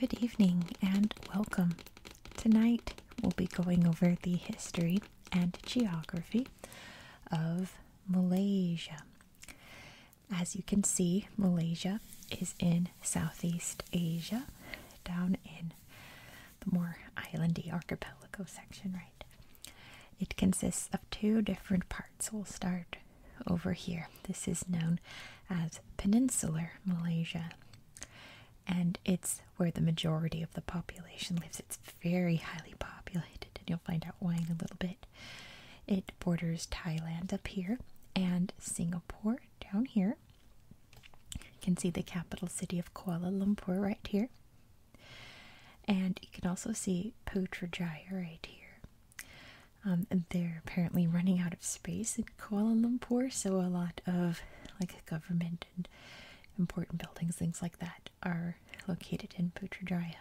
Good evening and welcome. Tonight we'll be going over the history and geography of Malaysia. As you can see, Malaysia is in Southeast Asia, down in the more islandy archipelago section, right? It consists of two different parts. We'll start over here. This is known as Peninsular Malaysia, and it's where the majority of the population lives. It's very highly populated, and you'll find out why in a little bit. It borders Thailand up here and Singapore down here. You can see the capital city of Kuala Lumpur right here. And you can also see Putrajaya right here. Um, they're apparently running out of space in Kuala Lumpur, so a lot of like government and important buildings, things like that, are located in Putrajaya.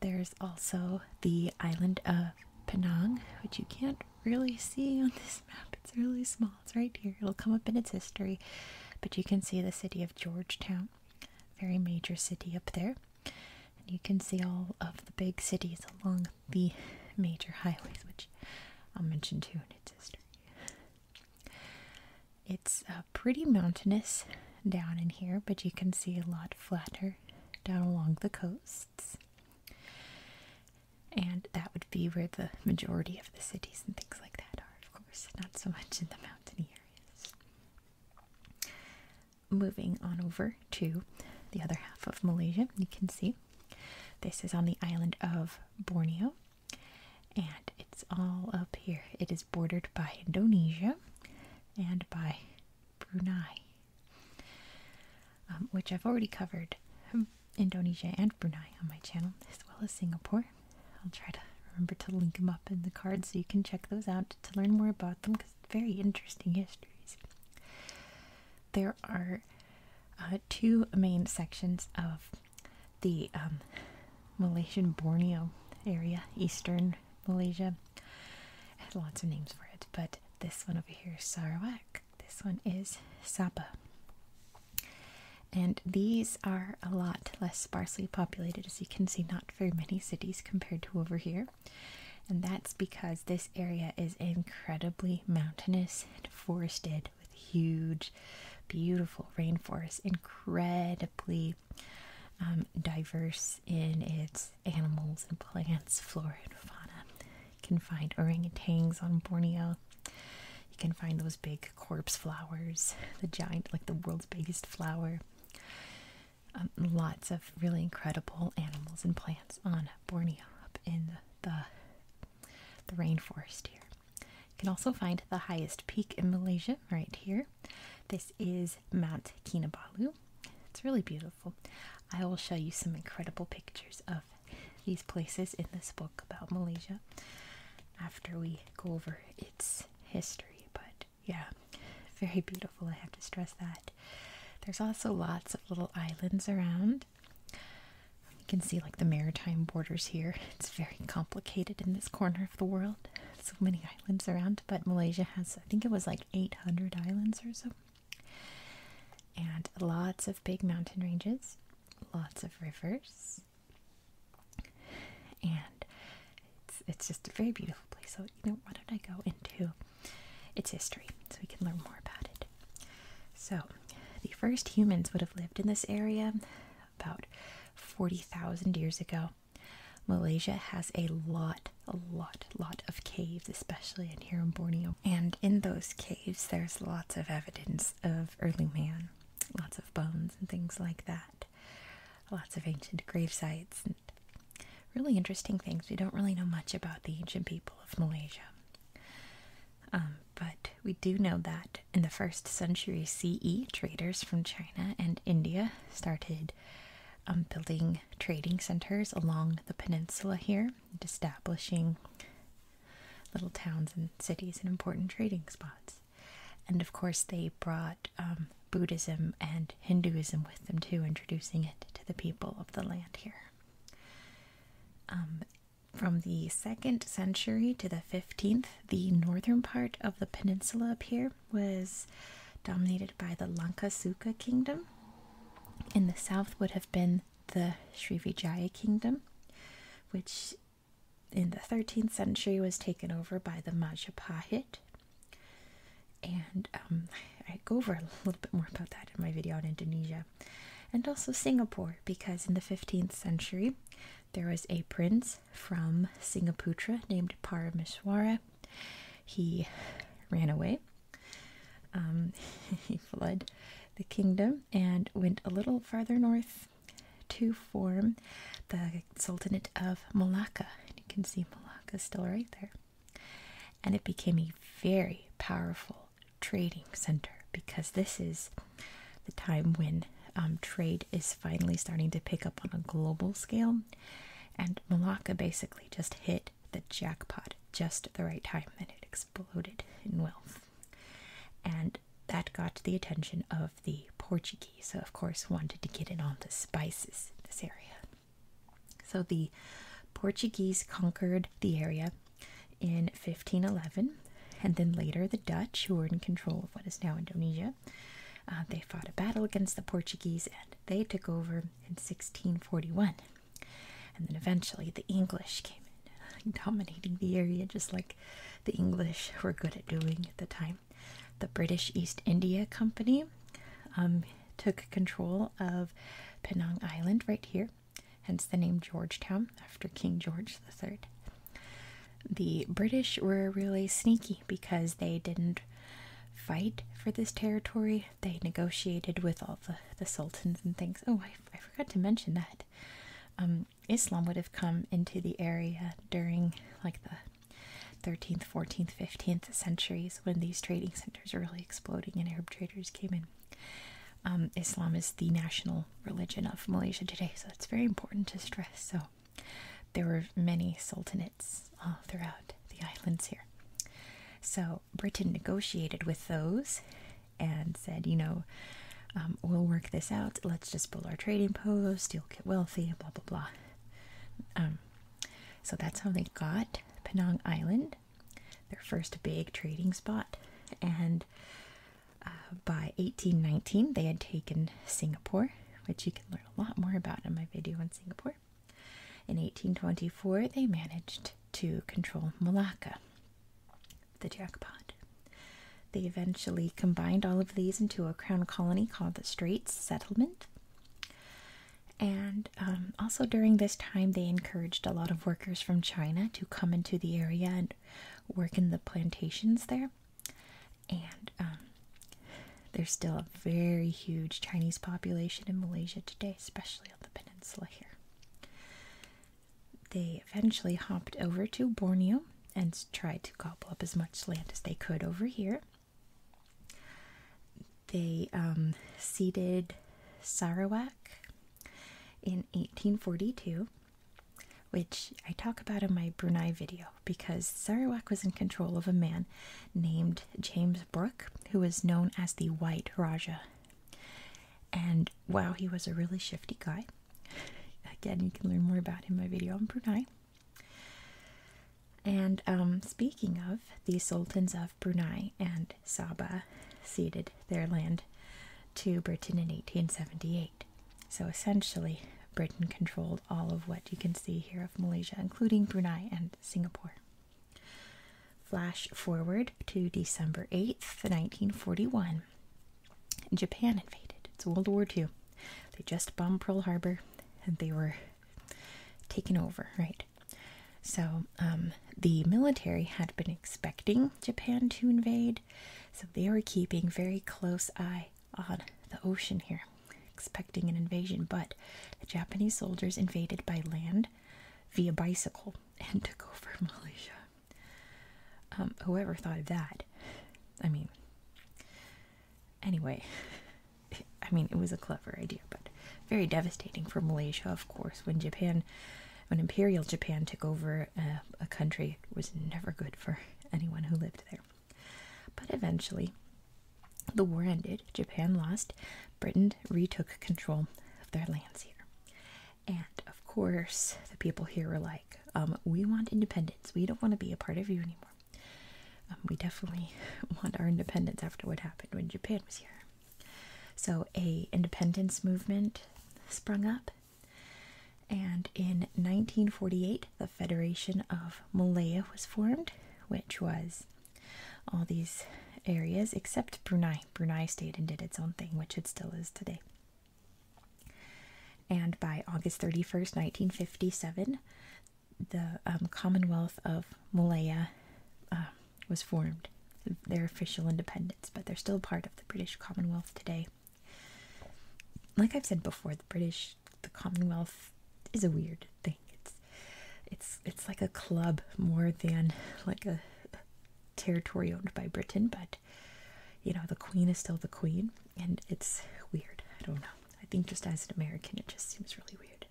There's also the island of Penang, which you can't really see on this map, it's really small. It's right here. It'll come up in its history. But you can see the city of Georgetown, very major city up there. And you can see all of the big cities along the major highways, which I'll mention too in its history. It's uh, pretty mountainous down in here, but you can see a lot flatter down along the coasts. And that would be where the majority of the cities and things like that are of course, not so much in the mountain areas. Moving on over to the other half of Malaysia, you can see this is on the island of Borneo, and it's all up here. It is bordered by Indonesia and by Brunei, um, which I've already covered hmm, Indonesia and Brunei on my channel, as well as Singapore. I'll try to remember to link them up in the cards so you can check those out to learn more about them because it's very interesting histories. There are uh, two main sections of the um, Malaysian Borneo area, eastern Malaysia. I had lots of names for it, but this one over here is Sarawak. This one is Sapa. And these are a lot less sparsely populated, as you can see, not very many cities compared to over here. And that's because this area is incredibly mountainous and forested with huge, beautiful rainforests, incredibly um, diverse in its animals and plants, flora and fauna. You can find orangutans on Borneo, you can find those big corpse flowers, the giant, like the world's biggest flower. Um, lots of really incredible animals and plants on Borneo up in the the rainforest here. You can also find the highest peak in Malaysia right here. This is Mount Kinabalu. It's really beautiful. I will show you some incredible pictures of these places in this book about Malaysia after we go over its history. But yeah, very beautiful, I have to stress that. There's also lots of little islands around. You can see like the maritime borders here. It's very complicated in this corner of the world. So many islands around, but Malaysia has, I think it was like 800 islands or so. And lots of big mountain ranges, lots of rivers, and it's it's just a very beautiful place. So you know, why don't I go into its history so we can learn more about it? So the first humans would have lived in this area about forty thousand years ago. Malaysia has a lot, a lot, lot of caves, especially in here in Borneo. And in those caves, there's lots of evidence of early man lots of bones and things like that. Lots of ancient grave sites and really interesting things. We don't really know much about the ancient people of Malaysia. Um, but we do know that in the first century CE, traders from China and India started um, building trading centers along the peninsula here, and establishing little towns and cities and important trading spots. And of course, they brought um, Buddhism and Hinduism with them too, introducing it to the people of the land here. Um, from the 2nd century to the 15th, the northern part of the peninsula up here was dominated by the Lankasuka kingdom. In the south would have been the Srivijaya kingdom, which in the 13th century was taken over by the Majapahit. And um, I go over a little bit more about that in my video on Indonesia. And also Singapore, because in the 15th century there was a prince from Singaputra named Parameswara. He ran away, um, he fled the kingdom and went a little farther north to form the Sultanate of Malacca. you can see Malacca still right there. And it became a very powerful trading center because this is the time when um, trade is finally starting to pick up on a global scale. And Malacca basically just hit the jackpot just the right time and it exploded in wealth. And that got the attention of the Portuguese, who, of course, wanted to get in on the spices in this area. So the Portuguese conquered the area in 1511, and then later the Dutch, who were in control of what is now Indonesia, uh, they fought a battle against the Portuguese and they took over in 1641. And then eventually the English came in dominating the area, just like the English were good at doing at the time. The British East India Company um, took control of Penang Island right here, hence the name Georgetown after King George III. The British were really sneaky because they didn't fight for this territory. They negotiated with all the, the sultans and things. Oh, I, I forgot to mention that. Um, Islam would have come into the area during like the 13th, 14th, 15th centuries when these trading centers were really exploding and Arab traders came in. Um, Islam is the national religion of Malaysia today, so it's very important to stress. So there were many sultanates uh, throughout the islands here. So Britain negotiated with those and said, you know, um, we'll work this out. Let's just pull our trading post. You'll get wealthy, blah, blah, blah. Um, so that's how they got Penang Island, their first big trading spot. And uh, by 1819, they had taken Singapore, which you can learn a lot more about in my video on Singapore. In 1824, they managed to control Malacca, the jackpot. They eventually combined all of these into a crown colony called the Straits Settlement. And um, also during this time, they encouraged a lot of workers from China to come into the area and work in the plantations there. And um, there's still a very huge Chinese population in Malaysia today, especially on the peninsula here they eventually hopped over to Borneo and tried to gobble up as much land as they could over here. They um, ceded Sarawak in 1842, which I talk about in my Brunei video because Sarawak was in control of a man named James Brooke, who was known as the White Raja. And wow, he was a really shifty guy. Again, you can learn more about in my video on Brunei. And um, speaking of, the sultans of Brunei and Sabah ceded their land to Britain in 1878. So essentially, Britain controlled all of what you can see here of Malaysia, including Brunei and Singapore. Flash forward to December 8th, 1941. Japan invaded. It's World War II. They just bombed Pearl Harbor and they were taken over, right? So um, the military had been expecting Japan to invade, so they were keeping very close eye on the ocean here, expecting an invasion. But the Japanese soldiers invaded by land via bicycle and took over Malaysia. Um, whoever thought of that? I mean, anyway, I mean, it was a clever idea, but very devastating for Malaysia, of course, when Japan, when Imperial Japan took over uh, a country, was never good for anyone who lived there. But eventually, the war ended, Japan lost, Britain retook control of their lands here. And of course, the people here were like, um, we want independence. We don't want to be a part of you anymore. Um, we definitely want our independence after what happened when Japan was here. So a independence movement sprung up. And in 1948, the Federation of Malaya was formed, which was all these areas except Brunei. Brunei stayed and did its own thing, which it still is today. And by August 31st, 1957, the um, Commonwealth of Malaya um, was formed, their official independence, but they're still part of the British Commonwealth today. Like I've said before, the British, the Commonwealth is a weird thing. It's it's it's like a club more than like a territory owned by Britain, but you know, the queen is still the queen, and it's weird. I don't know. I think just as an American, it just seems really weird.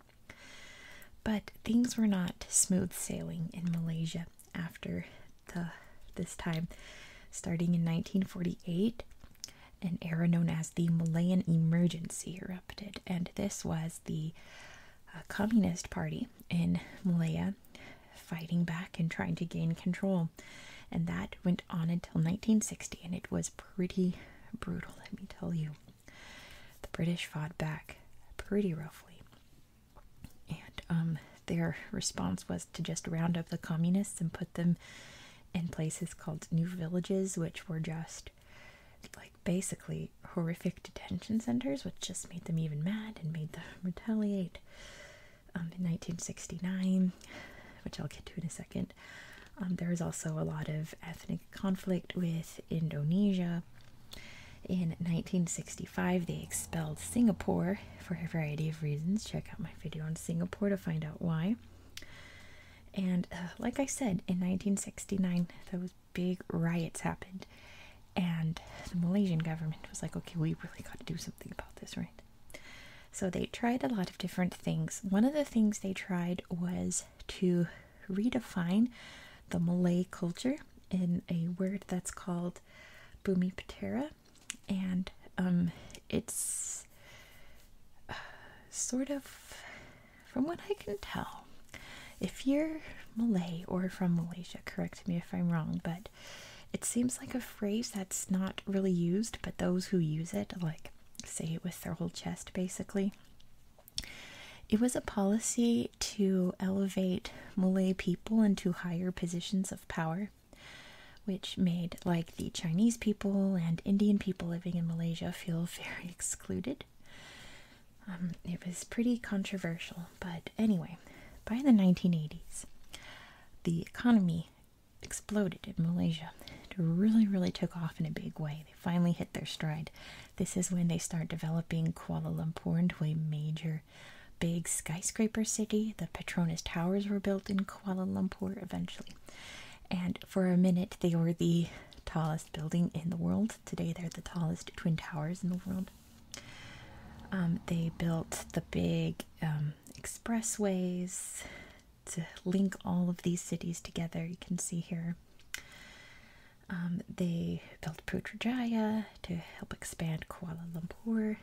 But things were not smooth sailing in Malaysia after the this time. Starting in 1948, an era known as the Malayan Emergency erupted, and this was the uh, Communist Party in Malaya fighting back and trying to gain control. And that went on until 1960, and it was pretty brutal, let me tell you. The British fought back pretty roughly. And um, their response was to just round up the communists and put them in places called new villages, which were just like basically horrific detention centers, which just made them even mad and made them retaliate. Um, in 1969, which I'll get to in a second. Um, there was also a lot of ethnic conflict with Indonesia. In 1965, they expelled Singapore for a variety of reasons. Check out my video on Singapore to find out why. And uh, like I said, in 1969, those big riots happened, and the Malaysian government was like, okay, we really got to do something about this, right? So they tried a lot of different things. One of the things they tried was to redefine the Malay culture in a word that's called Bumi And um, it's uh, sort of, from what I can tell, if you're Malay or from Malaysia, correct me if I'm wrong, but it. seems like a phrase that's not really used, but those who use it, like, say it with their whole chest basically. It was a policy to elevate Malay people into higher positions of power, which made, like, the Chinese people and Indian people living in Malaysia feel very excluded. Um, it was pretty controversial, but anyway, by the 1980s, the economy exploded in Malaysia. It really, really took off in a big way. They finally hit their stride. This is when they start developing Kuala Lumpur into a major, big skyscraper city. The Petronas Towers were built in Kuala Lumpur eventually. And for a minute, they were the tallest building in the world. Today, they're the tallest twin towers in the world. Um, they built the big um, expressways to link all of these cities together. You can see here. Um, they built Putrajaya to help expand Kuala Lumpur,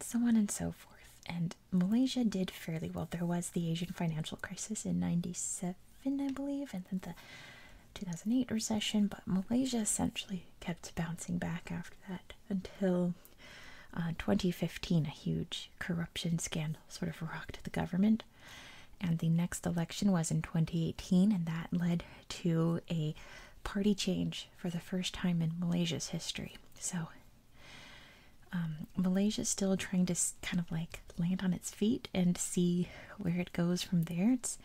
so on and so forth. And Malaysia did fairly well. There was the Asian financial crisis in 97, I believe, and then the 2008 recession, but Malaysia essentially kept bouncing back after that until uh, 2015, a huge corruption scandal sort of rocked the government. And the next election was in 2018, and that led to a party change for the first time in Malaysia's history. So, um, Malaysia's still trying to kind of like land on its feet and see where it goes from there. It's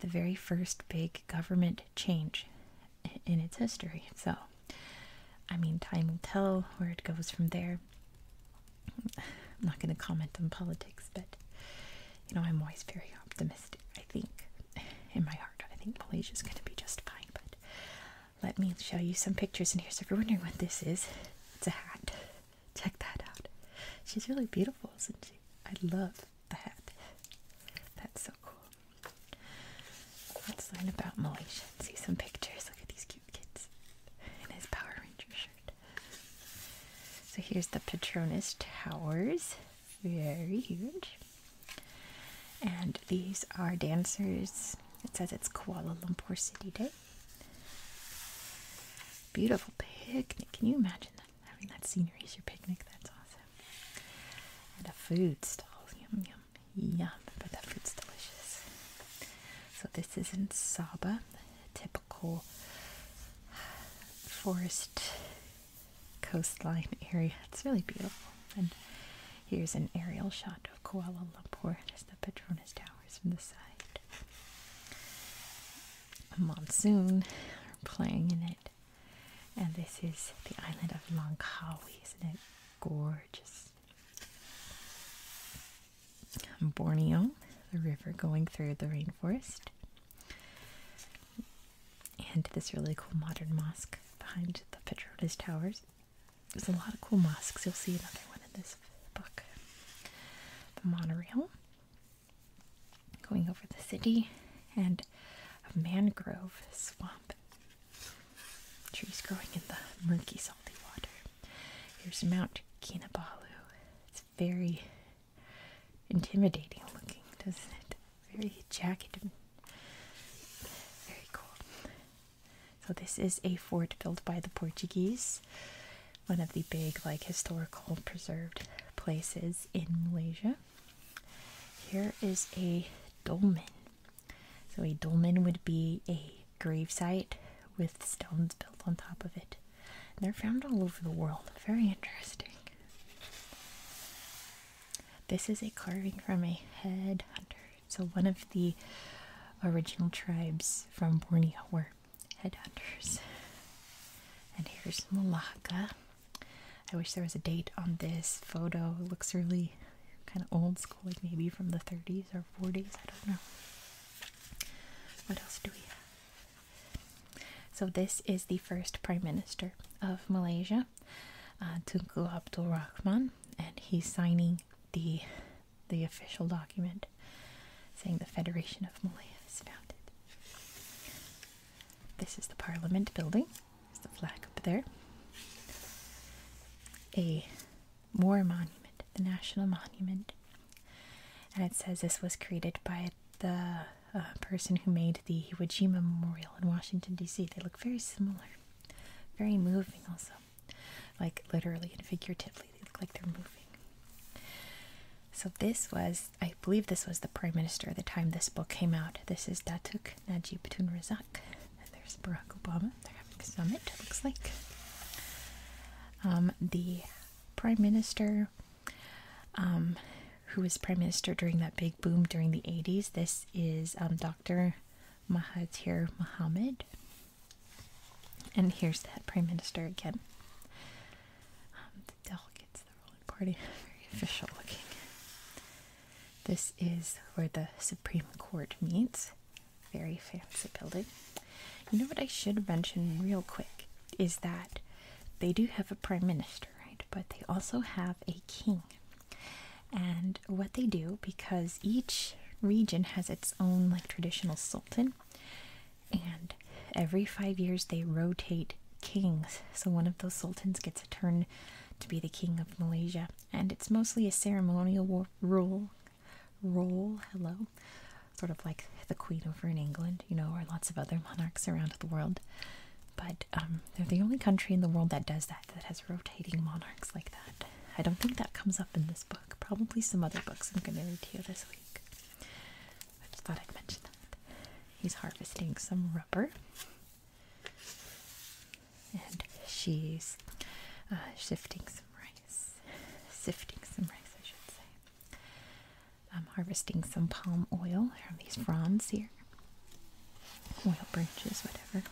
the very first big government change in its history. So, I mean, time will tell where it goes from there. I'm not going to comment on politics, but you know, I'm always very optimistic. I think in my heart, I think Malaysia's going to be just fine. But let me show you some pictures in here. So, if you're wondering what this is, it's a hat. Check that out. She's really beautiful, isn't she? I love the hat. That's so cool. Let's learn about Malaysia and see some pictures. Look at these cute kids in his Power Ranger shirt. So here's the Petronas Towers. Very huge. And these are dancers. It says it's Kuala Lumpur City Day. Beautiful picnic. Can you imagine that? Having that scenery as your picnic, that's awesome. And a food stall, yum, yum, yum, but that food's delicious. So this is in Saba, typical forest coastline area. It's really beautiful. And here's an aerial shot of Kuala Lumpur, just the Petronas Towers from the side. A monsoon playing in it. And this is the island of Langkawi, isn't it gorgeous? Borneo, the river going through the rainforest. And this really cool modern mosque behind the Petronas Towers. There's a lot of cool mosques. You'll see another one in this book. The monorail going over the city and a mangrove swamp. Trees growing in the murky, salty water. Here's Mount Kinabalu. It's very intimidating looking, doesn't it? Very jagged very cool. So this is a fort built by the Portuguese, one of the big like historical preserved places in Malaysia. Here is a dolmen. So, a dolmen would be a gravesite with stones built on top of it. They're found all over the world. Very interesting. This is a carving from a headhunter. So, one of the original tribes from Borneo were headhunters. And here's Malacca. I wish there was a date on this photo. It looks really kind of old school, like maybe from the 30s or 40s. I don't know. What else do we have? So, this is the first Prime Minister of Malaysia, uh, Abdul Rahman, and he's signing the, the official document saying the Federation of Malaya is founded. This is the Parliament building. There's the flag up there. A war monument, the National Monument. And it says this was created by the uh, person who made the Hiroshima Memorial in Washington, D.C. They look very similar. Very moving, also. Like literally and figuratively, they look like they're moving. So, this was I believe this was the prime minister at the time this book came out. This is Datuk Najib Tun Razak. And there's Barack Obama. They're having a summit, looks like. Um, the prime minister, um, who was prime minister during that big boom during the 80s, this is um, Dr. Mahathir Mohamad. And here's that prime minister again. Delicate, delegates of the ruling party. Very official looking. This is where the Supreme Court meets. Very fancy building. You know what I should mention real quick is that they do have a prime minister, right? But they also have a king. And what they do, because each region has its own like traditional sultan, and every five years they rotate kings. So one of those sultans gets a turn to be the king of Malaysia, and it's mostly a ceremonial role. Role, hello, sort of like the queen over in England, you know, or lots of other monarchs around the world. But um, they're the only country in the world that does that, that has rotating monarchs like that. I don't think that comes up in this book. Probably some other books I'm going to read to you this week. I just thought I'd mention that. He's harvesting some rubber. And she's uh, shifting some rice. Sifting some rice, I should say. I'm harvesting some palm oil from these fronds here. Oil branches, whatever.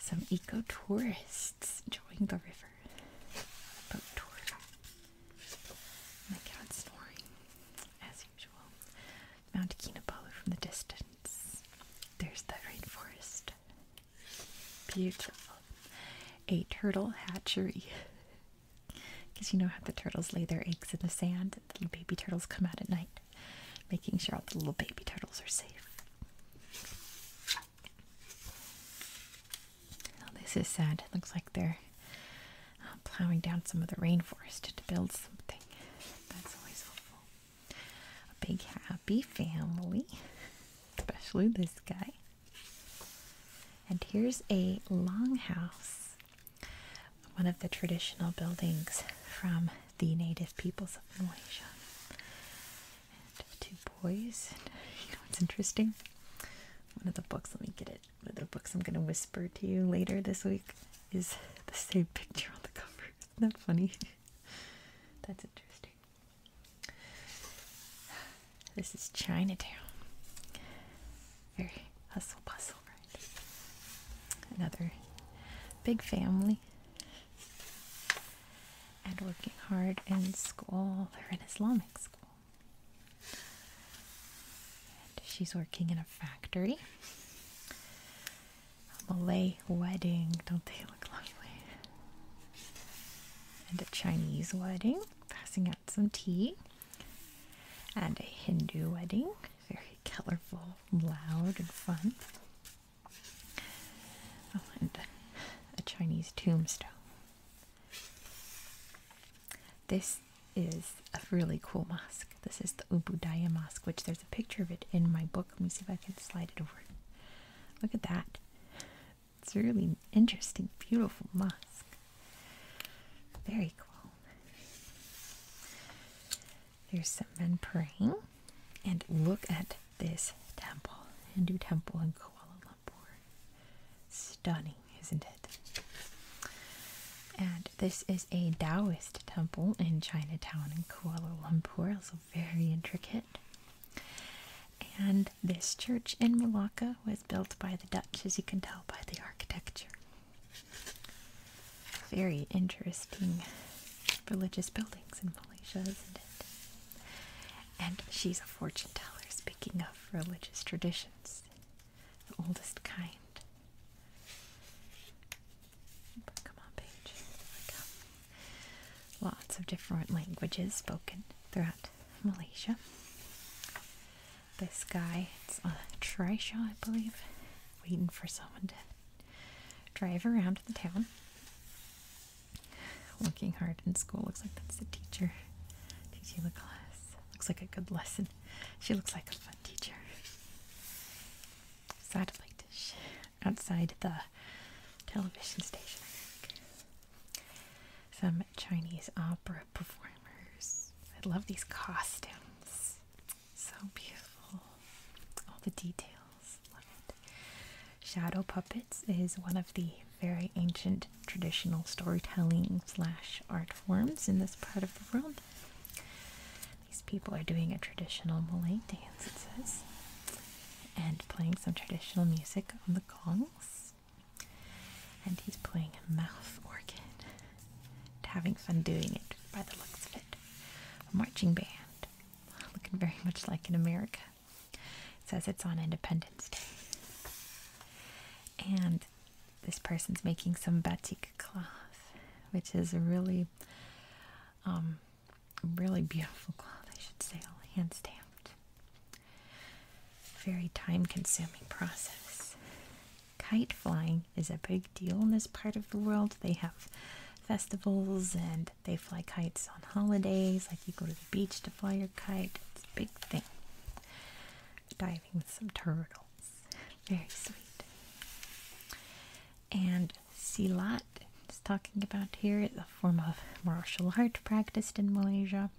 Some eco tourists enjoying the river. My cat snoring, as usual. Mount Kinabalu from the distance. There's the rainforest. Beautiful. A turtle hatchery. Because you know how the turtles lay their eggs in the sand, the little baby turtles come out at night, making sure all the little baby turtles are safe. this is sad. looks like they're uh, plowing down some of the rainforest to build something. That's always helpful. A big happy family, especially this guy. And here's a longhouse, one of the traditional buildings from the native peoples of Malaysia. two boys. you know what's interesting? One of the books, let me get it the books I'm gonna whisper to you later this week is the same picture on the cover. Isn't that funny? That's interesting. This is Chinatown. Very hustle bustle, Another big family. And working hard in school. They're in Islamic school. And she's working in a factory. A Malay wedding, don't they look lovely? And a Chinese wedding, passing out some tea. And a Hindu wedding, very colorful, loud, and fun. Oh, and a Chinese tombstone. This is a really cool mosque. This is the Ubudaya Mosque, which there's a picture of it in my book. Let me see if I can slide it over. Look at that. It's a really interesting, beautiful mosque. Very cool. There's some men praying. And look at this temple, Hindu temple in Kuala Lumpur. Stunning isn't it? And this is a Taoist temple in Chinatown in Kuala Lumpur, also very intricate. And this church in Malacca was built by the Dutch, as you can tell by the architecture. Very interesting religious buildings in Malaysia, isn't it? And she's a fortune teller, speaking of religious traditions oldest kind. Come on, page. There we go. Lots of different languages spoken throughout Malaysia. This guy, it's a uh, trishaw, I believe, waiting for someone to drive around the town. Working hard in school. Looks like that's the teacher teaching the class. Looks like a good lesson. She looks like a fun teacher. Satellite dish outside the television station, Some Chinese opera performers. I love these costumes. So beautiful. All the details. Love it. Shadow puppets is one of the very ancient traditional storytelling slash art Forms in this part of the world. These people are doing a traditional Malay dance, it says, and playing some traditional music on the gongs. And he's playing a mouth organ and having fun doing it by the looks of it. A marching band, looking very much like in America. says it's on Independence Day. And this person's making some batik cloth, which is a really, um, really beautiful cloth, I should say, all hand stamped. Very time consuming process. Kite flying is a big deal in this part of the world. They have festivals and they fly kites on holidays, like you go to the beach to fly your kite. It's a big thing diving with some turtles. Very sweet. And Silat is talking about here, the form of martial art practiced in Malaysia.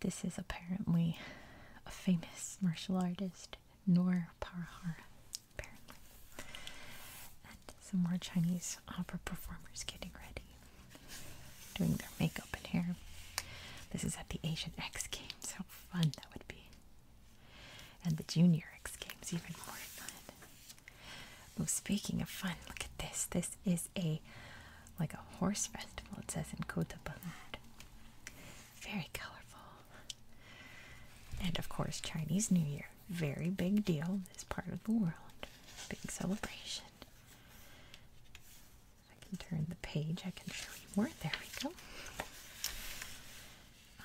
This is apparently a famous martial artist, Noor Parahara, apparently. And some more Chinese opera performers getting ready, doing their makeup and hair. This is at the Asian X Games, so fun that would be. And the Junior X Games, even more fun. Oh, speaking of fun, look at this. This is a like a horse festival, it says in Côte Ballard. Very colorful. And of course, Chinese New Year. Very big deal in this part of the world. Big celebration. I can turn the page. I can show you more. There we go.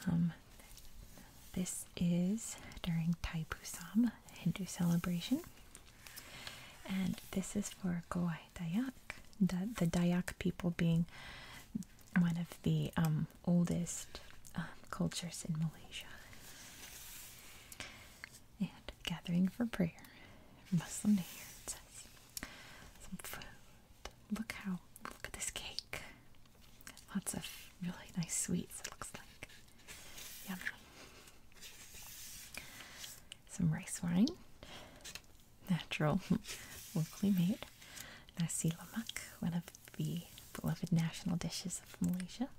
Um, this is during Taipusam Hindu celebration, and this is for Goai Dayak, the, Dayak people being one of the um, oldest um, cultures in Malaysia. And gathering for prayer, Muslim New it says. Some food. Look how look at this cake. Lots of really nice sweets, it looks like. Yummy. Some rice wine. Natural, locally made. Nasi lemak, one of the beloved national dishes of Malaysia.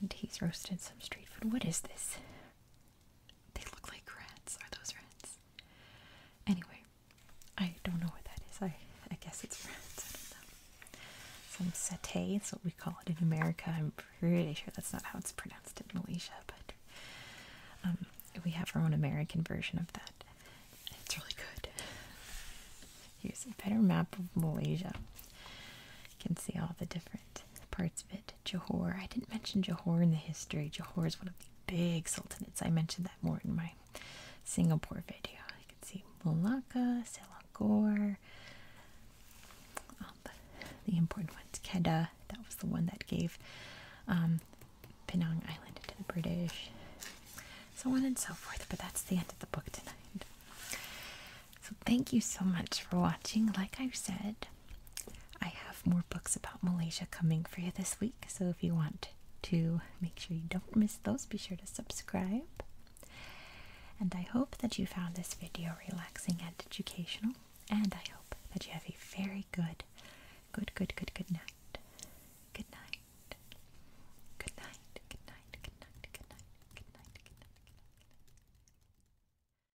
And he's roasted some street food. What is this? They look like rats. Are those rats? Anyway, I don't know what that is. I I guess it's rats. I don't know. Some satay is what we call it in America. I'm pretty sure that's not how it's pronounced in Malaysia, but um, we have our own American version of that. It's really good. Here's a better map of Malaysia. You can see all the different parts of it. Johor. I didn't mention Johor in the history. Johor is one of the big sultanates. I mentioned that more in my Singapore video. You can see Malacca, Selangor, the important ones. Kedah, that was the one that gave um, Penang Island to the British. So on and so forth, but that's the end of the book tonight. So thank you so much for watching. Like I said, I have more books about Malaysia coming for you this week, so if you want to make sure you don't miss those, be sure to subscribe. And I hope that you found this video relaxing and educational, and I hope that you have a very good, good, good, good, good night. Good night. Good night. Good night. Good night. Good night. Good night. Good night.